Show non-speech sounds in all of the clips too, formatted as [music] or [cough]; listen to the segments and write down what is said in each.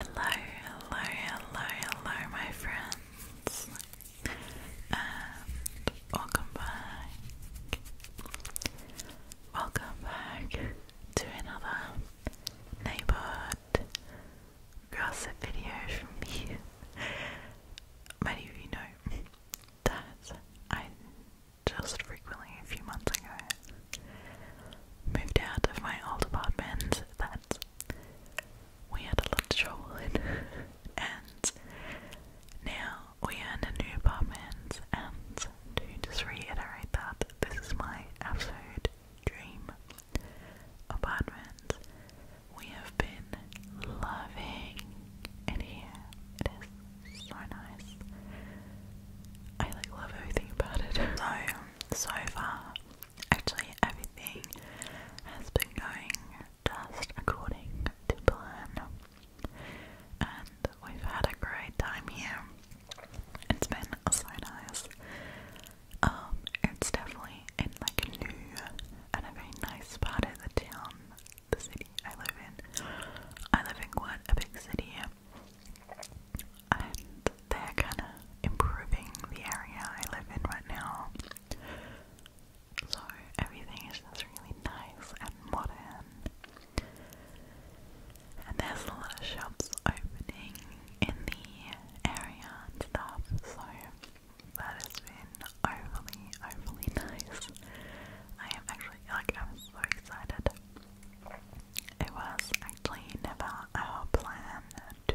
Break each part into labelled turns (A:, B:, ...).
A: Hello, hello, hello, hello, my friends, and welcome back. Welcome back to another neighborhood gossip video from me. [laughs] Many of you know that I just frequently, a few months ago, moved out of my old apartment that we had a lot of trouble [laughs] and now we are in a new apartment. And to just reiterate that, this is my absolute dream apartment. We have been loving it here. It is so nice. I like love everything about it. [laughs] So so far, Actually, everything has been going just according to plan, and we've had a great time here. It's been so nice. Um, it's definitely in like a new and a very nice part of the town, the city I live in. I live in quite a big city, they're kind of improving the area I live in right now. So everything is just really nice and modern. And there's a lot of shops opening in the area and stuff, so that has been overly, overly nice. I am actually, like, I'm so excited. It was actually never our plan to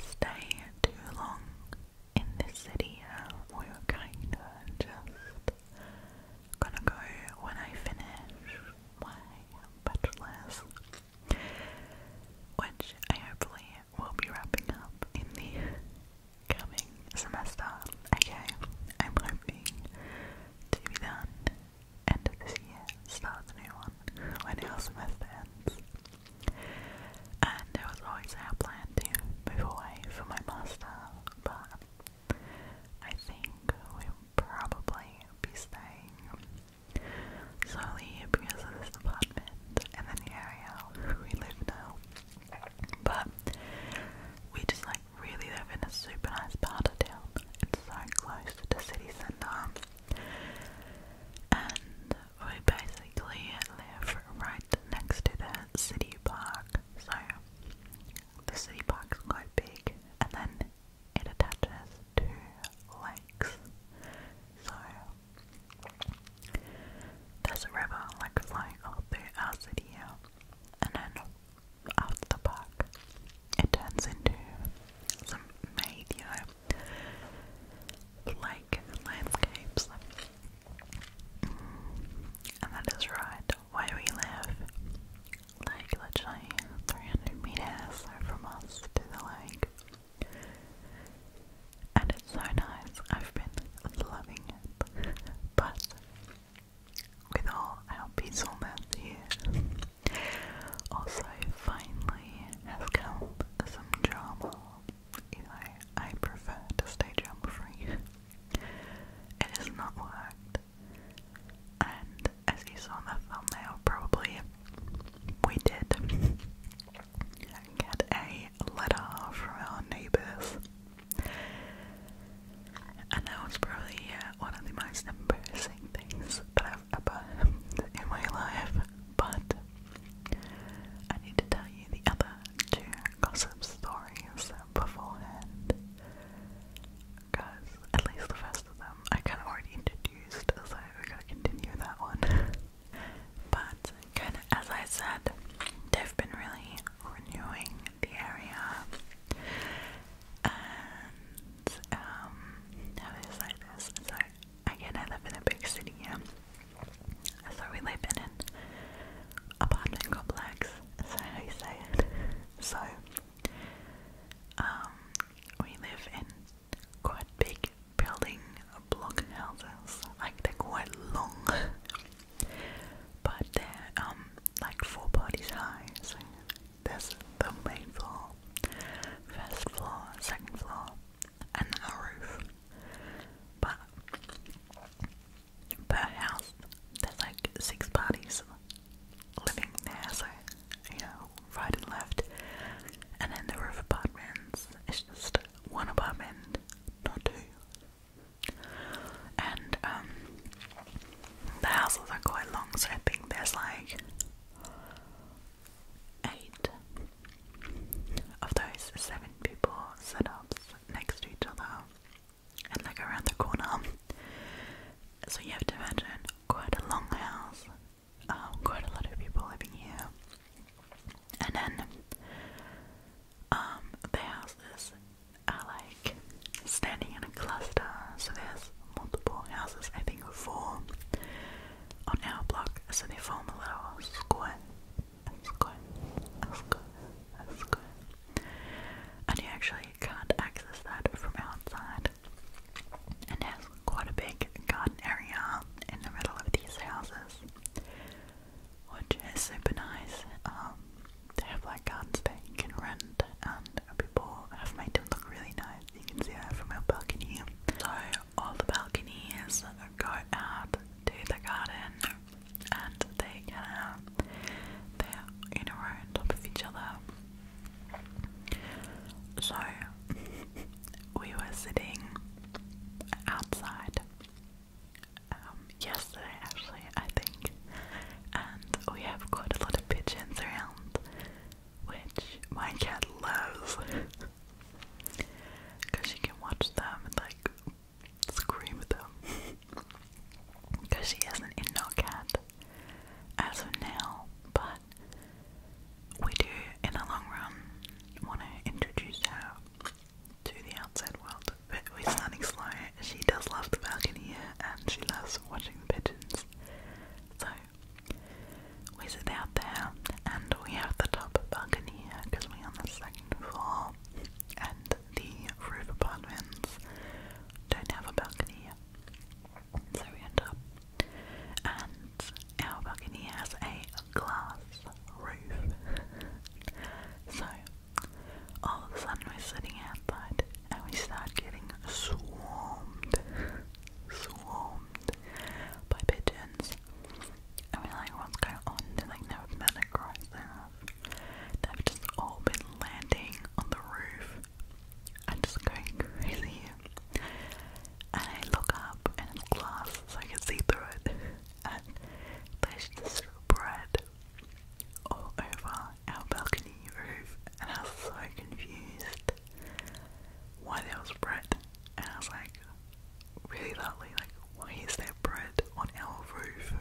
A: stay too long in this city. Uh, we're kind of just gonna go when I finish my bachelor's, which I hopefully will be wrapping up in the coming semester. Okay, I'm hoping to be done end of this year, start a new one, when our semester ends. And it was always our plan to move away for my master, but I think we'll probably be staying solely because of this apartment and then the area we live now. But we just like really live in a super nice part of town. It's so close to the city center um and we basically live right next to the city park. So the city park quite big and then it attaches to lakes. So there's a river like flowing all through our city And then after the park. It turns into some made, you know, lake landscapes. Mm, and that is right where we live. Like literally 300 meters from us to the lake. And it's so nice. I've been loving it. but with all our peacefulness here, also, finally has come some drama. You I prefer to stay drama free. it has not worked. And as you saw in the thumbnail, probably we did get a letter from our neighbours. And that was probably uh, one of the most embarrassing things have in my life, but I need to tell you the other two gossip stories beforehand. Because at least the first of them I kind of already introduced, so we're gonna continue that one. but as I said, they've been really renewing the area, and um how do I say this? So again I live in a big city, So we live in apartment complex, so how you say it. So um we live in quite big building block houses. Like they're quite long [laughs] but they're um like four bodies high, so there's the main floor, first floor, second floor, and a roof. But per house, there's like six parties living there, so you know, right and left. And then the roof apartments, it's just one apartment, not two. And um, the houses are quite long, so I think there's like Eight of those seven people set up next to each other and like around the corner. So you have to imagine quite a long house, um, quite a lot of people living here. And then um, the houses are uh, like standing in a cluster, so there's houses, multiple houses, I think four on our block, so they form a little square, a square, a square, a square. And you actually can't access that from outside. And there's quite a big garden area in the middle of these houses, which is super nice. Um, they have like gardens that you can rent, and and people have made them look really nice. You can see that from our balcony. So all the balconies go out to the garden and they can uh, they're in a row on top of each other. So [laughs] we were sitting outside um, yesterday actually I think and we have quite a lot of pigeons around which my cat loves because [laughs] she can watch them and like scream at them because [laughs] she is an indoor cat as of now, but we do in the long run want to introduce her to the outside world, but we're starting slow. She does love the balcony and she loves watching the pigeons. So we sit out there and we have the top balcony here because we're on the second floor and the roof apartments don't have a balcony here. So we end up and our balcony has a glass roof. [laughs] so all of a sudden we're sitting outside and we start getting swarmed, swarmed by pigeons. And we like, what's going on? They're like, never met a crisis. They've just all been landing on the roof. i just going crazy. And I look up and it's glass so I can see through it. And there's just bread all over our balcony roof. And I was so confused why there was bread. And I was like, really loudly, like, why is there bread on our roof?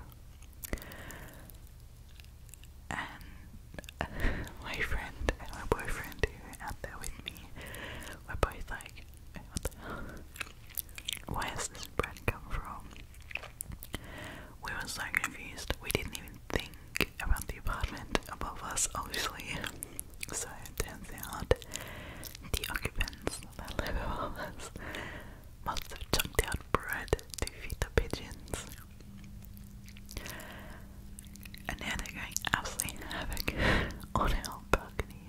A: And [laughs] my friend and my boyfriend who were out there with me were both like, what has this bread come from? We were so confused. We didn't even think music the apartment above us, obviously. So it turns the occupants that above us must have chucked out bread to feed the pigeons. And now they're going absolutely havoc [laughs] on our balcony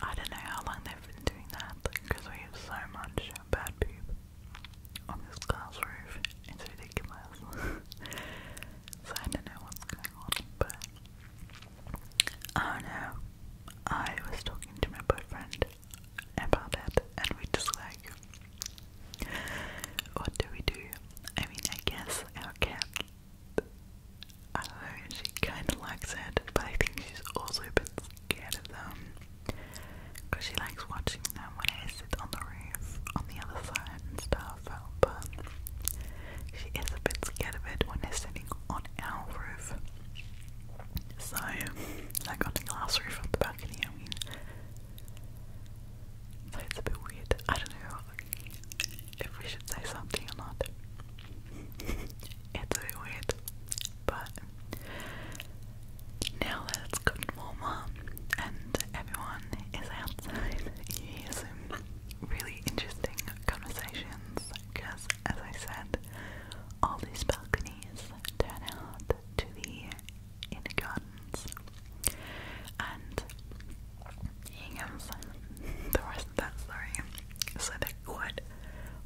A: I don't know how long they've been doing that because we have so much bad poop on this glass roof. It's ridiculous. [laughs] so I don't know what's going on, but oh no. I was talking to my boyfriend about that, and we just like what do we do? I mean I guess our cat I don't know, she kinda likes it, but I think she's also a bit scared of them because she likes watching them when I sit on the roof on the other side and stuff. But she is a bit scared of it when they're sitting on our roof. So, like got the glass roof of the balcony, I mean. So it's a bit weird. I don't know if we should say something or not. [laughs] it's a bit weird. But now that it's gotten warmer and everyone is outside, you hear some really interesting conversations because, as I said, all these balconies turn out to the inner gardens. And here the rest of that story. So they're quite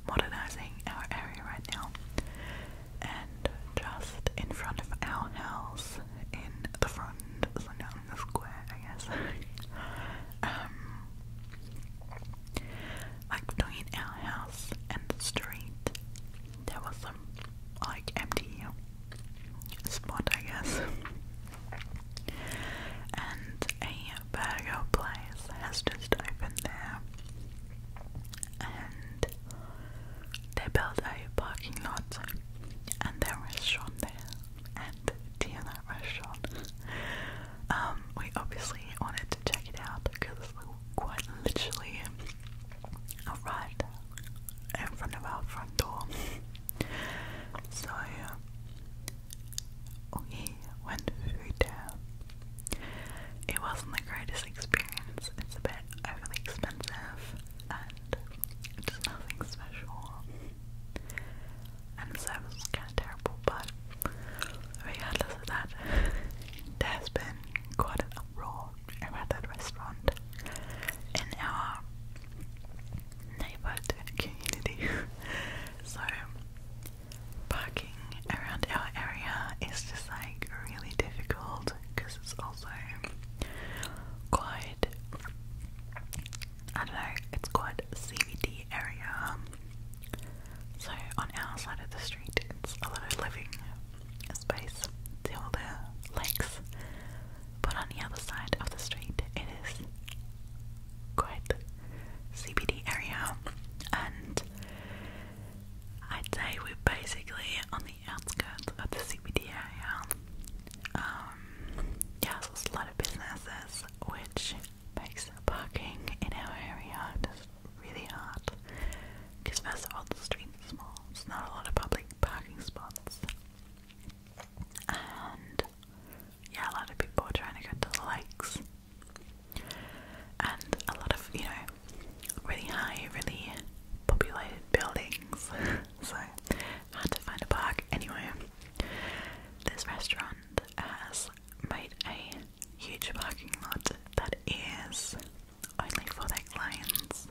A: modernising our area right now and just in front of our house, in the front, so down in the square, I guess. [laughs] Um, like between our house and the street, there was some like empty spot, I guess. [laughs] And a burger place has just opened there, and they built a parking lot and their restaurant there and tea in restaurant. Um, we obviously wanted to check it out because we were quite literally right in front of our front door. So uh, we went through there. It wasn't the greatest experience. It's a bit overly expensive and it's nothing special. And the service was kind of terrible, but regardless of that, [laughs] there has been quite an uproar around that restaurant in our neighborhood community. [laughs] so, parking around our area is just like really difficult because it's also quite I don't know, it's quite CBD area. So on our side of the street, it's a lot of living space, see all the lakes. But on the other side of the street, it is quite CBD area, and I'd say we're basically on the outskirts of the CBD area. Um, yeah, so there's a lot of businesses which makes parking in our area just really hard because first of all the streets are small, there's not a lot of public parking spots and yeah, a lot of people are trying to go to the lakes and a lot of, you know, really high, really populated buildings. [laughs] so had to find a park. Anyway, this restaurant has made a huge parking lot that is only for their clients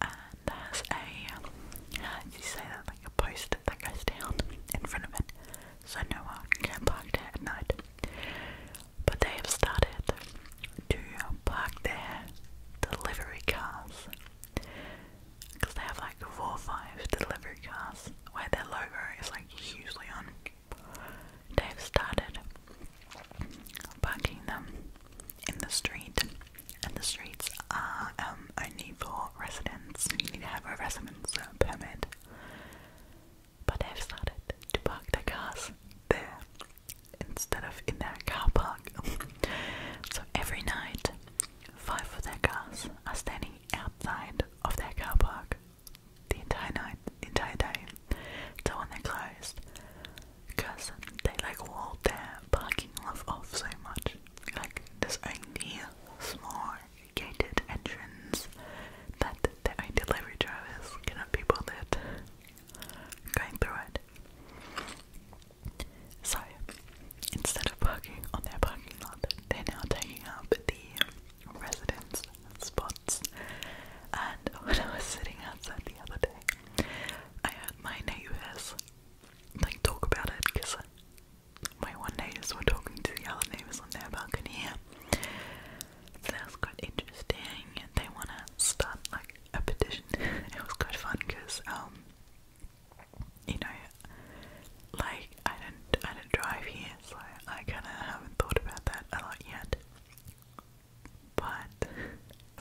A: and there's a how do you say that like a post that goes down in front of it so no one can park there at night but they have started to park their delivery cars because they have like four five delivery cars where their logo is like hugely on. They've started parking them in the street, and the streets are um, only for residents. You need to have a residence permit. But they've started to park their cars there instead of in their car park. [laughs] so every night, five of their cars are standing outside of their car park the entire night, the entire day. So when they're closed, because they like walled their parking lot off so much, like this only small gated entrance that the delivery drivers cannot be bothered going through it. So, instead of parking on their parking lot, they're now taking up the residence spots. And when I was sitting outside the other day, I had my neighbours like talk about it because my one neighbours were talking to the other neighbours on their balcony here. So quite interesting. They wanna start like a petition. it was quite fun because um, you know, like I don't I don't drive here, so I kind of haven't thought about that a lot yet. But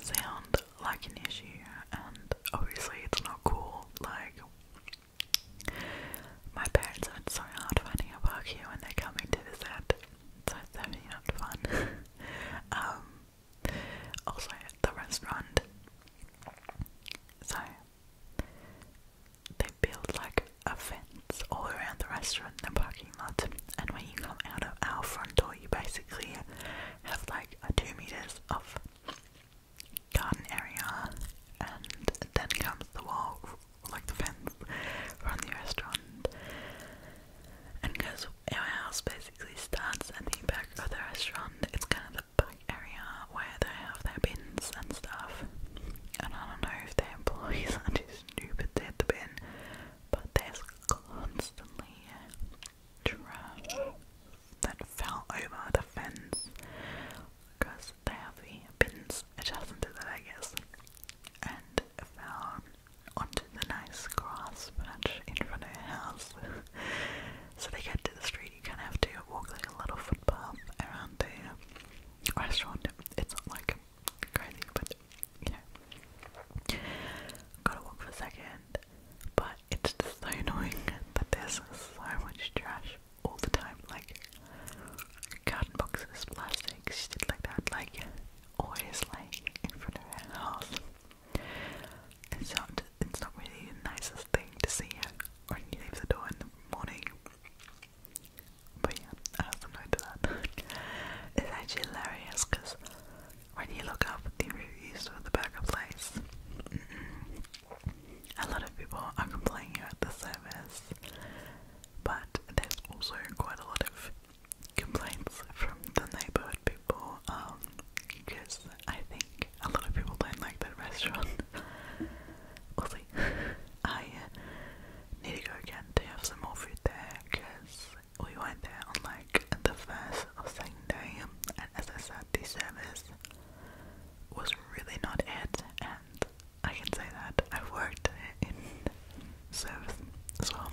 A: sound like an issue, and obviously it's not cool. Like my parents are so hard finding a park here when they're coming to visit so it's definitely not fun. [laughs] Um, also, the restaurant. So they build like a fence all around the restaurant and the parking lot, and when you come out of our front door, you basically have like a two meters of garden area, and then comes the wall, like the fence, from the restaurant. And because our house basically starts at the back of the restaurant, it's kind of the back area where they have their bins and stuff. And I don't know if their employees [laughs] are too stupid to hit the bin, but there's constantly trash that fell over the fence because they have the bins adjacent to that, I guess, and fell onto the nice grass patch in front of her house. [laughs] so they get to the street, you kind of have to walk like a little footpath around the restaurant. It's not like crazy, but you know, gotta walk for a second. But it's just so annoying that there's so much trash all the time, like carton boxes, plastics, shit like that. Like always like in front of her house. It's not, it's not really the nicest thing to see her when you leave the door in the morning. But yeah, I have some note to that. [laughs] it's actually hilarious because when you look up the reviews for the burger place, mm -mm, a lot of people are complaining about the service, but there's also quite a lot of complaints from the neighborhood people um, because I think a lot of people don't like that [laughs] restaurant. we I uh, need to go again to have some more food there because we went there on like the first or second day, and as I said, the service was really not it, and I can say that I've worked in service as well.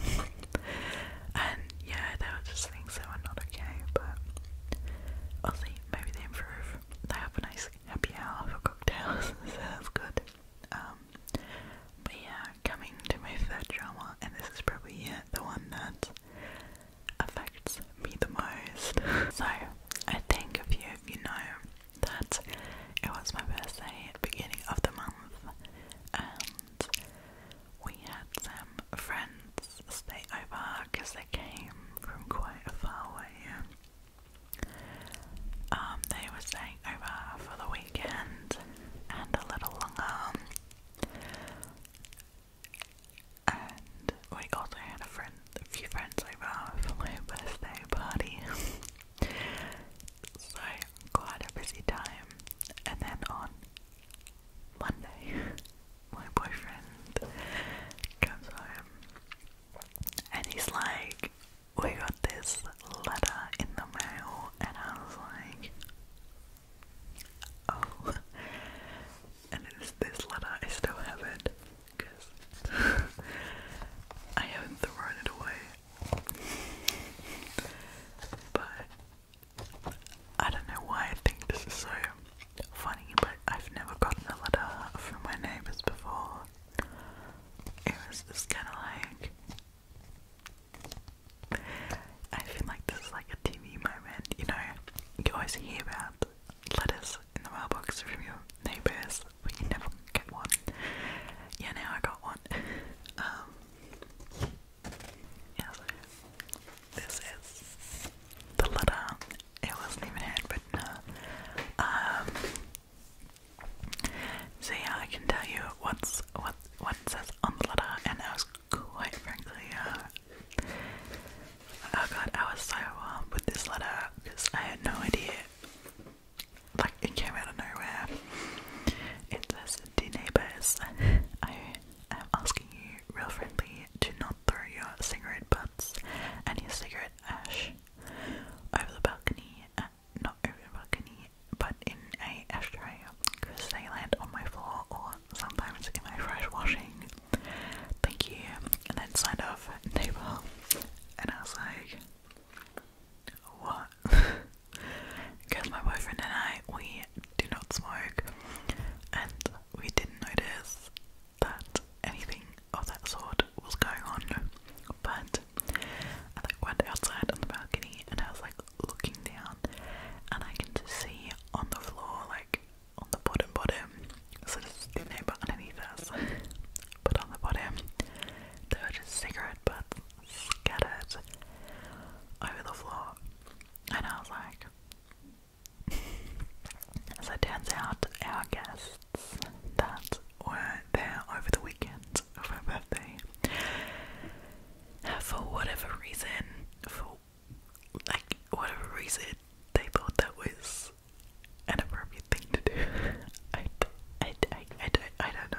A: and yeah, there were just things that were not okay, but I'll maybe they improve. They have a nice happy hour for cocktails, [laughs] so that's good. Um, but yeah, coming to my third drama, and this is probably the one that affects me the most. [laughs] so, I think a few of you know that it was my birthday at beginning of the month, um, we had some friends stay over because they came from quite a far away. Um, they were staying over for the weekend and a little longer. And we also had a friend, a few friends over for my birthday party. [laughs] So, quite a busy time. And then on Monday, [laughs] my boyfriend comes home and he's like, We got this letter in the mail. And I was like, Oh. [laughs] And it is this letter, I still have it because [laughs] I haven't thrown it away but I don't know why I think this is so funny, but I've never gotten a letter from my neighbours before. It was just kind of like. I feel like this is like a TV moment, you know. You always hear about letters in the mailbox from your neighbours, but you never get one. Yeah, now I got one. [laughs] Um, yeah, so this is the letter. It wasn't even handwritten. Uh, um, so yeah, I can tell you what's what what says on the letter, and I was quite frankly, uh, oh god, I was so warm uh, with this letter because I had no idea like it came out of nowhere. It says, Dear neighbours, I am asking you real friendly to not throw your cigarette butts and your cigarette ash over the balcony, uh, not over the balcony, but in a ashtray, because they land on my floor or sometimes in my fresh washing. Thank you. And then signed off neighbour, and I was like, what? Because [laughs] my boyfriend and I, we do not smoke, and we didn't notice that anything of that sort was going on. But I like went outside on the balcony, and I was like looking down, and I can just see on the floor, like on the bottom, bottom. So this is neighbor underneath us, [laughs] but on the bottom there were just cigarette butts scattered over the floor. And I was like, so [laughs] turns out our guests that were there over the weekend of my birthday, for whatever reason, for like whatever reason, they thought that was an appropriate thing to do. [laughs] I, I, I, I, don't, I don't know.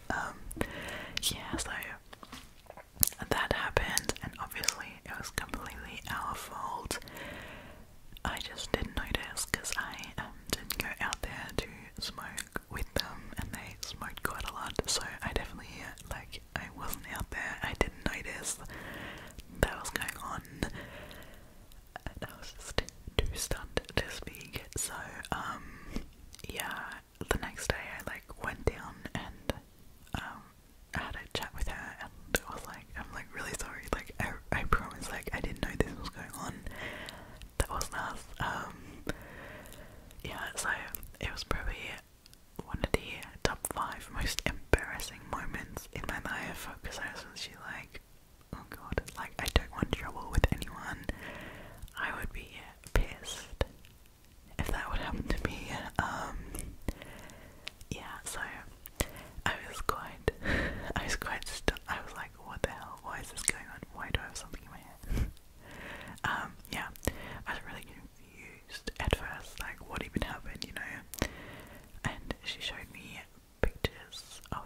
A: Um, yeah, so that happened, and obviously it was completely our fault. I just didn't notice because I um, didn't go out there to smoke with them, and they smoked quite a lot. So I definitely like I wasn't out there. I didn't notice that was going on, and I was just too stunned to speak. So um, yeah, the next day I like went down and I um, had a chat with her and it was like, I'm like really sorry, like I I promise like I didn't know this was going on. That wasn't Um yeah, so it was probably one of the top five most embarrassing moments in my life because I was she like, oh god, like. I don't want trouble with anyone. I would be pissed if that would happen to me. Um yeah, so I was quite [laughs] I was quite stu I was like, what the hell? Why is this going on? Why do I have something in my head? [laughs] um, yeah. I was really confused at first, like what even happened, you know? And she showed me pictures of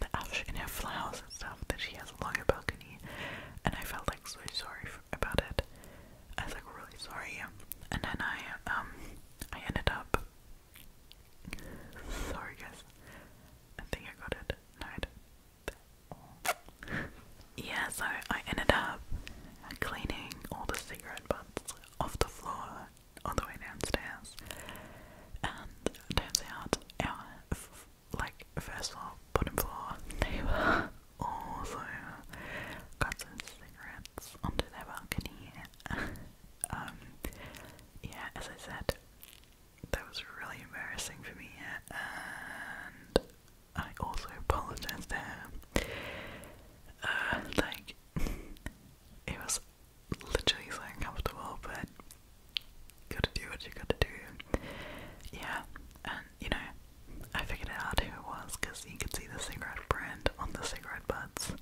A: the ash and her flowers and stuff that she has along her balcony, and I felt like so sorry for, about it. I was like really sorry, and then I um I ended up. Sorry guys, I think I got it. No, I didn't. [laughs] yeah, so I ended up cleaning all the cigarette butts off the floor on the way downstairs, and turns out our like first floor, bottom floor, they were also got cigarettes onto their balcony. [laughs] Um, yeah, as I said, that was really embarrassing for me, and I also apologized to her. Uh, like, [laughs] it was literally so uncomfortable, but gotta do what you gotta do. Yeah, and you know, I figured out who it was because you could see the cigarette brand on the cigarette butts.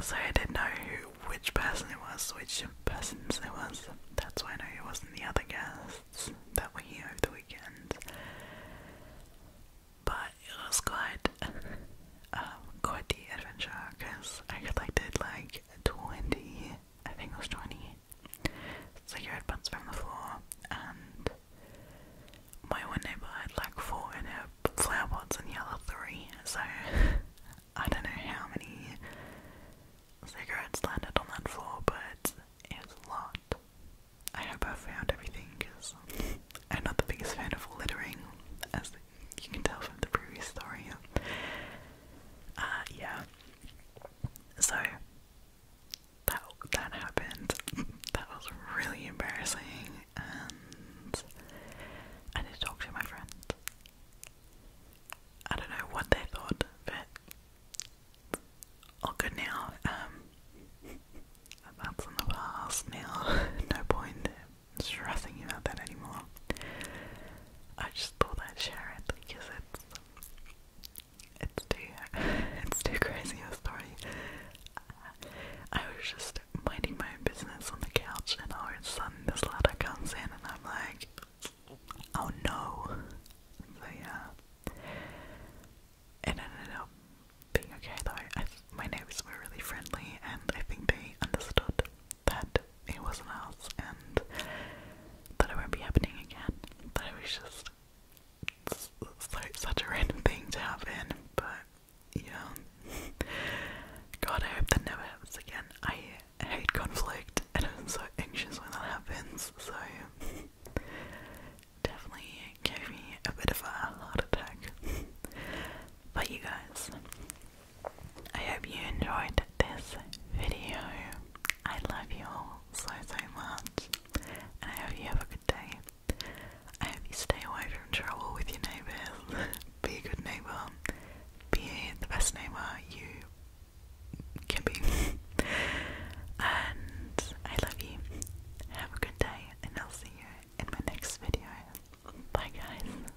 A: So I didn't know who, which person it was, which persons it was. That's why I know it wasn't the other guests that were here over the weekend. But it was quite, [laughs] uh, quite the adventure because I could like did like like 20, I think it was 20, cigarette butts from the floor, and my one neighbour had like four in her flower pots and the other three, so [laughs] I don't know how many cigarettes landed on that floor, but it was a lot. I hope I found everything because I'm not the biggest fan of littering, as you can tell from the previous story. Uh, yeah. So that that happened. That was really embarrassing, and I did talk to my friend. I don't know what they thought, but all good now. Um, that's in the past now. [laughs] no point stressing about that anymore. I just thought I'd share because it's it's too [laughs] it's too crazy a story. I was just minding my own business on the couch, and all of a sudden this letter comes in, and I'm like, oh no. So yeah, it ended up being okay though. my neighbors were really friendly, and I think they understood that it wasn't us and that it won't be happening again. That it was just so, such a random thing to happen, but yeah. God, I hope that never happens again. I hate conflict and I'm so anxious when that happens, so definitely gave me a bit of a heart attack. but you guys, I hope you enjoyed this video. I love you all so so much I hope you have a good day. I hope you stay away from trouble with your neighbours. [laughs] be a good neighbour. Be the best neighbour you can be. [laughs] and I love you. Have a good day and I'll see you in my next video. Bye guys.